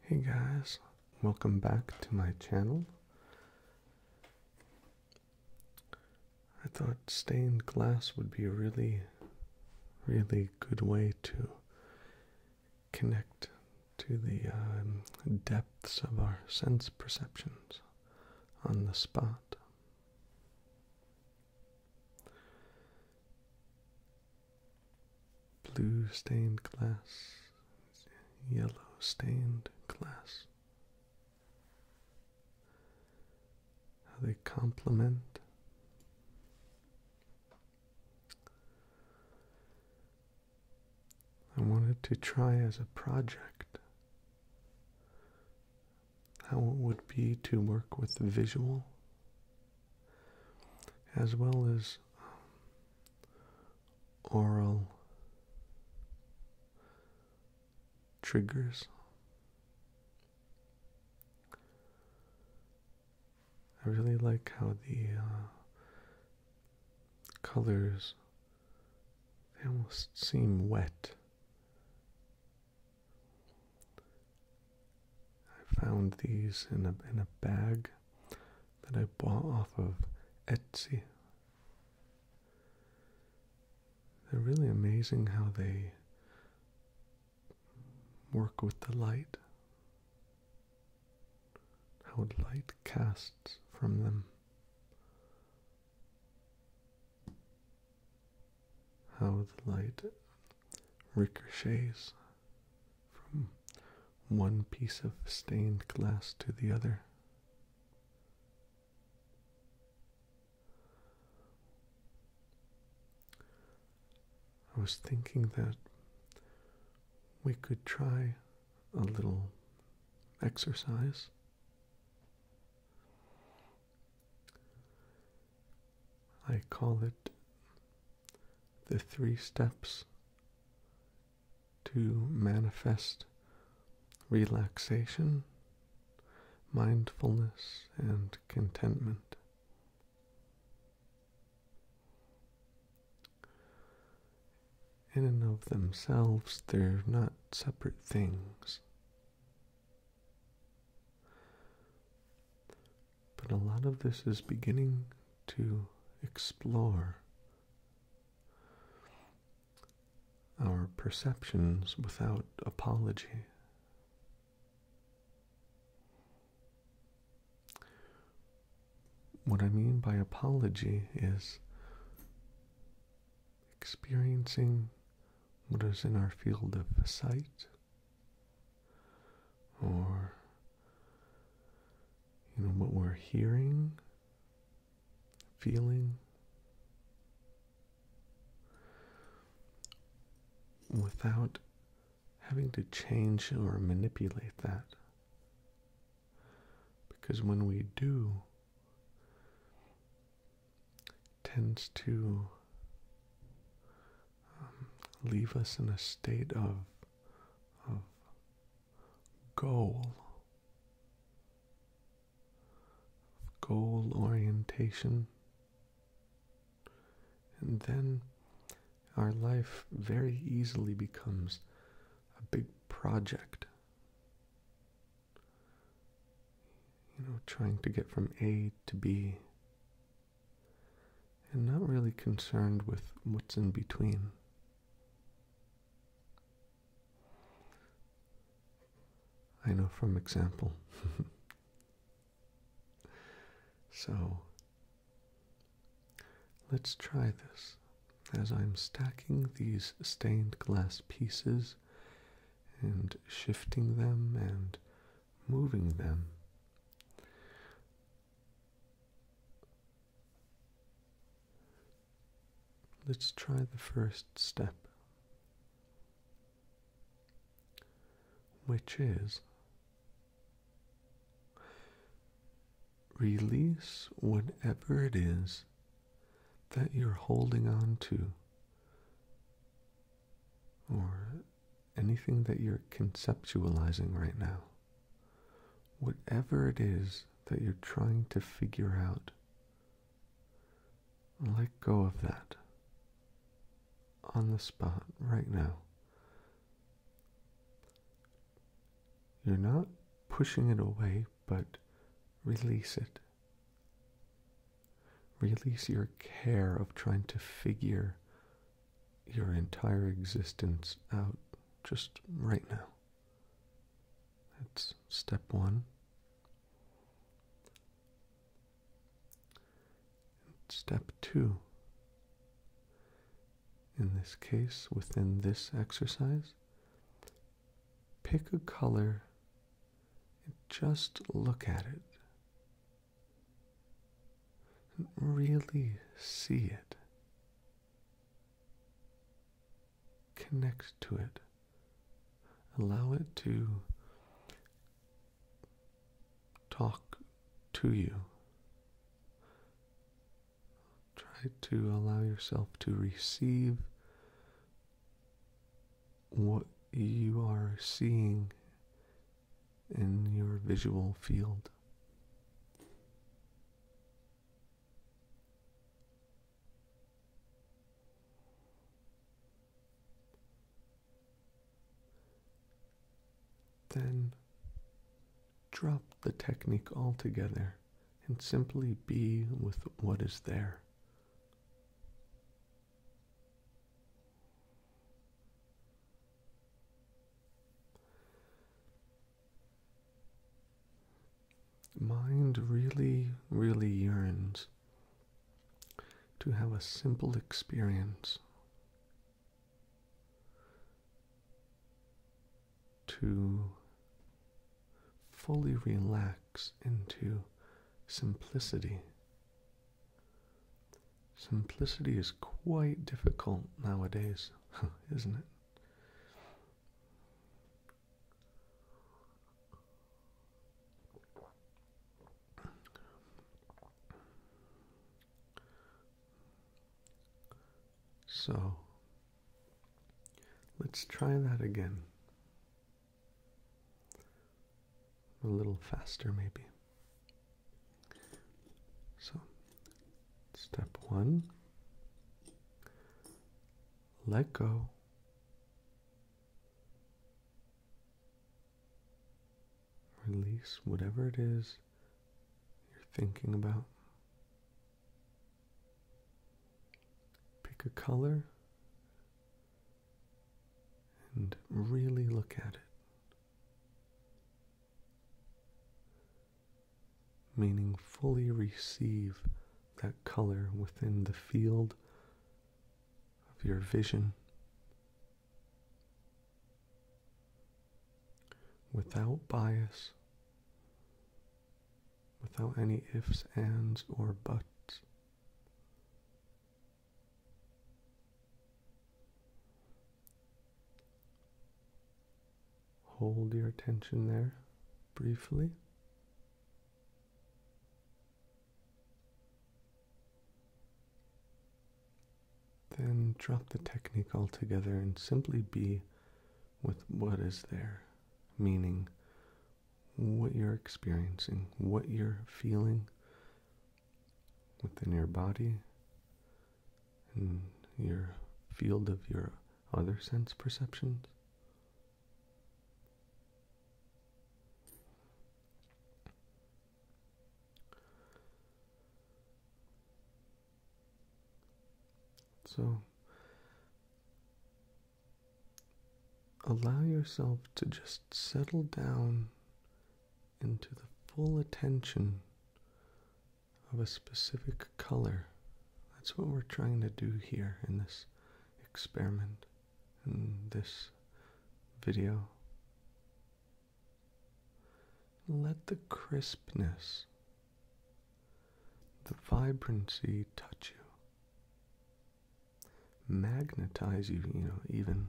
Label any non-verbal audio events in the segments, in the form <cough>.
Hey guys, welcome back to my channel. I thought stained glass would be a really, really good way to connect to the um, depths of our sense perceptions on the spot blue stained glass, yellow stained glass. How they complement. I wanted to try as a project how it would be to work with visual as well as um, oral triggers. I really like how the uh, colors they almost seem wet I found these in a in a bag that I bought off of Etsy. They're really amazing how they work with the light. How light casts from them. How the light ricochets from one piece of stained glass to the other. I was thinking that we could try a little exercise. I call it the three steps to manifest relaxation, mindfulness, and contentment. In and of themselves, they're not separate things. But a lot of this is beginning to explore our perceptions without apology. What I mean by apology is experiencing what is in our field of sight or you know what we're hearing, feeling without having to change or manipulate that. Because when we do, tends to um, leave us in a state of, of goal, goal orientation, and then our life very easily becomes a big project. You know, trying to get from A to B and not really concerned with what's in between. I know from example. <laughs> so let's try this as I'm stacking these stained glass pieces and shifting them and moving them. Let's try the first step, which is release whatever it is that you're holding on to or anything that you're conceptualizing right now, whatever it is that you're trying to figure out, let go of that on the spot right now. You're not pushing it away, but release it. Release your care of trying to figure your entire existence out just right now. That's step one. Step two. In this case, within this exercise, pick a color and just look at it really see it. Connect to it. Allow it to talk to you. Try to allow yourself to receive what you are seeing in your visual field. Then drop the technique altogether and simply be with what is there. Mind really, really yearns to have a simple experience, to fully relax into simplicity. Simplicity is quite difficult nowadays, <laughs> isn't it? So let's try that again a little faster, maybe. So, step one let go. Release whatever it is you're thinking about. Pick a color and really look at it. Meaning, fully receive that color within the field of your vision without bias, without any ifs, ands, or buts. Hold your attention there briefly. Then drop the technique altogether and simply be with what is there, meaning what you're experiencing, what you're feeling within your body and your field of your other sense perceptions. So allow yourself to just settle down into the full attention of a specific color. That's what we're trying to do here in this experiment, in this video. Let the crispness, the vibrancy touch you magnetize you, you know, even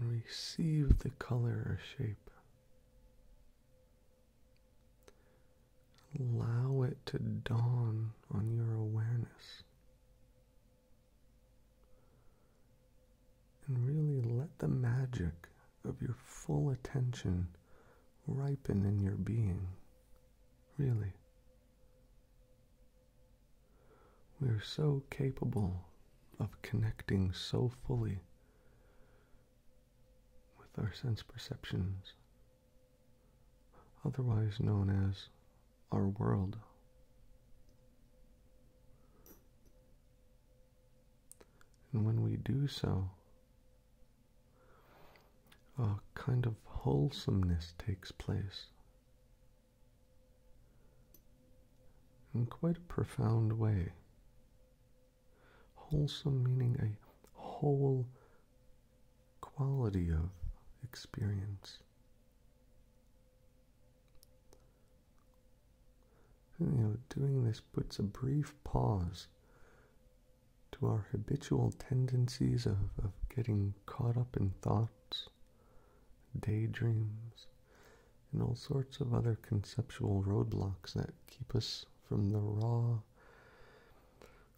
receive the color or shape. Allow it to dawn on your awareness. And really let the magic of your full attention ripen in your being, really. We are so capable of connecting so fully with our sense perceptions, otherwise known as our world. And when we do so, a kind of wholesomeness takes place in quite a profound way. Wholesome meaning a whole quality of experience. You know, doing this puts a brief pause to our habitual tendencies of, of getting caught up in thoughts, daydreams, and all sorts of other conceptual roadblocks that keep us from the raw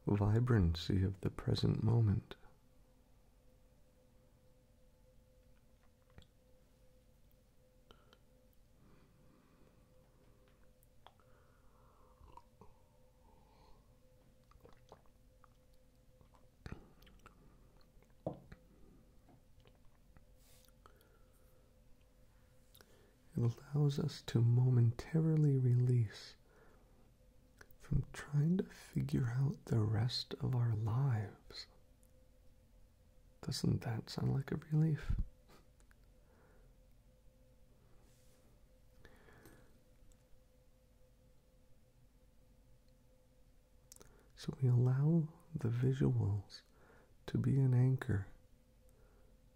vibrancy of the present moment. It allows us to momentarily release from trying to figure out the rest of our lives. Doesn't that sound like a relief? So we allow the visuals to be an anchor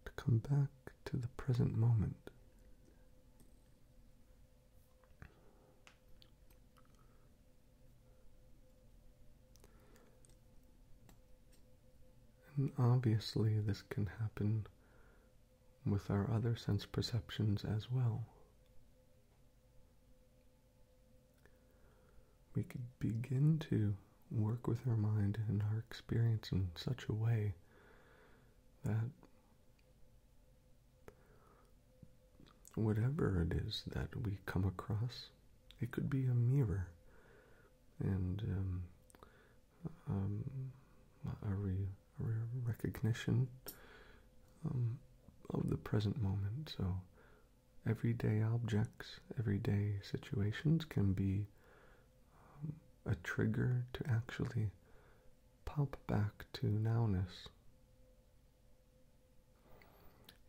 to come back to the present moment. And obviously, this can happen with our other sense perceptions as well. We could begin to work with our mind and our experience in such a way that whatever it is that we come across, it could be a mirror and um, um, a, re recognition um, of the present moment. So, everyday objects, everyday situations can be a trigger to actually pop back to nowness.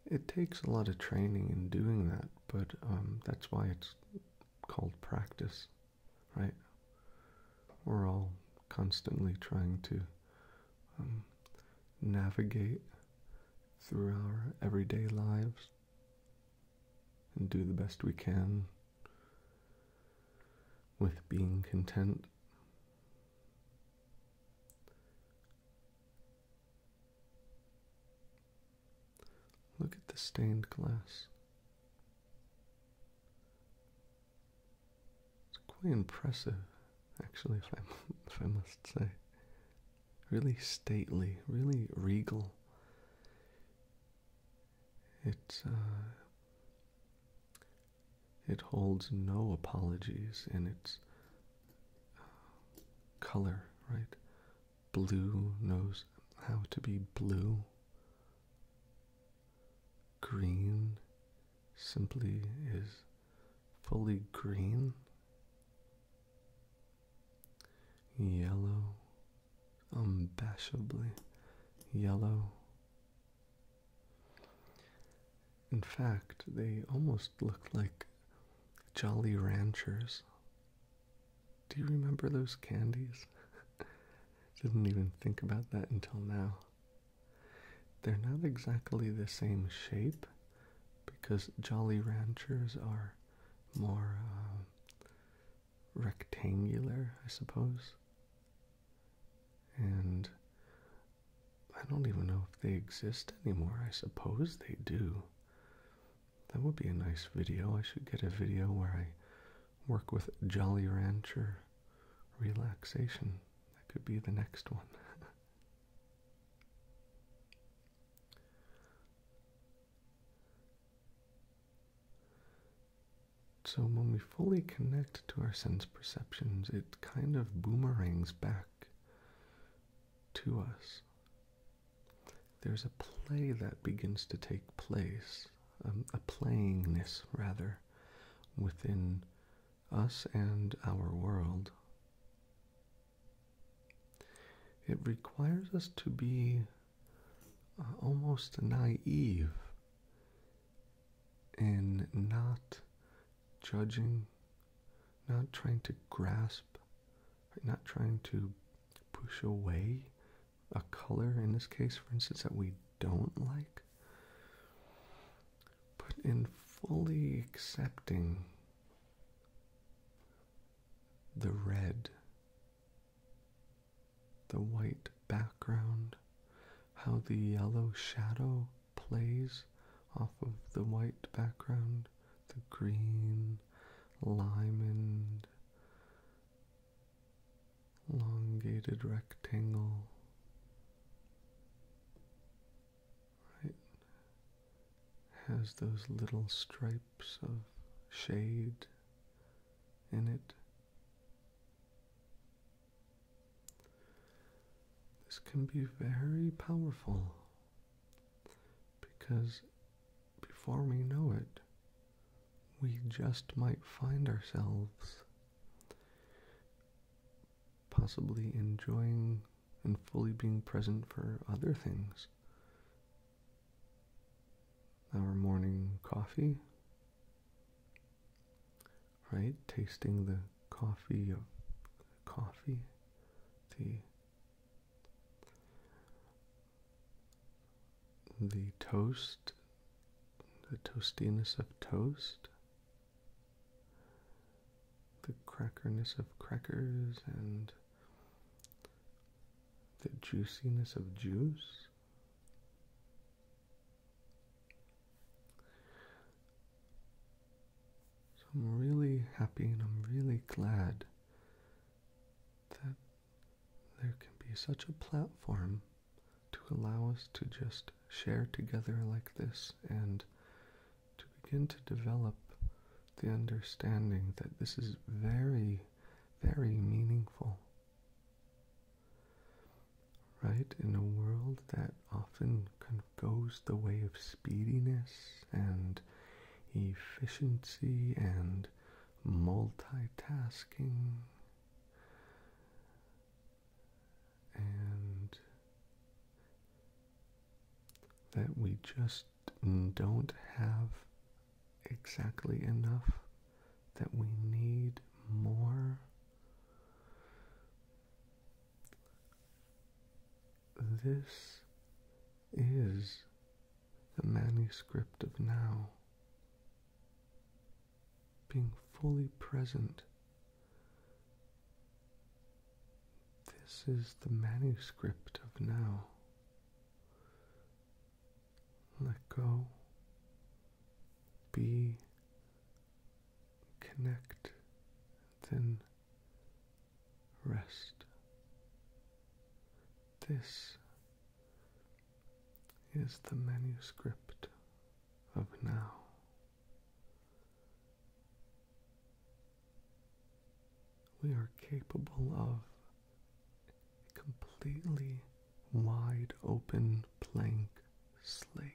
It takes a lot of training in doing that, but um, that's why it's called practice, right? We're all constantly trying to um, navigate through our everyday lives and do the best we can with being content. Look at the stained glass. It's quite impressive, actually, if I, <laughs> must say. Really stately, really regal. It uh, it holds no apologies in its uh, color, right? Blue knows how to be blue. Green simply is fully green. Yellow, unbashably yellow. In fact, they almost look like Jolly Ranchers do you remember those candies? <laughs> Didn't even think about that until now. They're not exactly the same shape because Jolly Ranchers are more uh, rectangular, I suppose. And I don't even know if they exist anymore. I suppose they do. That would be a nice video. I should get a video where I work with Jolly Rancher relaxation. That could be the next one. <laughs> so, when we fully connect to our sense perceptions, it kind of boomerangs back to us there's a play that begins to take place, um, a playingness rather, within us and our world. It requires us to be uh, almost naive in not judging not trying to grasp, not trying to push away a color in this case, for instance, that we don't like, but in fully accepting the red, the white background, how the yellow shadow plays off of the white background, the green lime and elongated rectangle. Right has those little stripes of shade in it. This can be very powerful because before we know it, we just might find ourselves possibly enjoying and fully being present for other things. Our morning coffee, right? Tasting the coffee coffee the the toast, the toastiness of toast, the crackerness of crackers, and the juiciness of juice. So I'm really happy and I'm really glad that there can be such a platform to allow us to just share together like this and to begin to develop the understanding that this is very, very meaningful. Right? In a world that often goes the way of speediness and efficiency and multitasking and that we just don't have exactly enough, that we need more. This is the manuscript of now, being fully present. This is the manuscript of now. Let go. Be connect, then rest. This is the manuscript of now. We are capable of a completely wide open blank slate.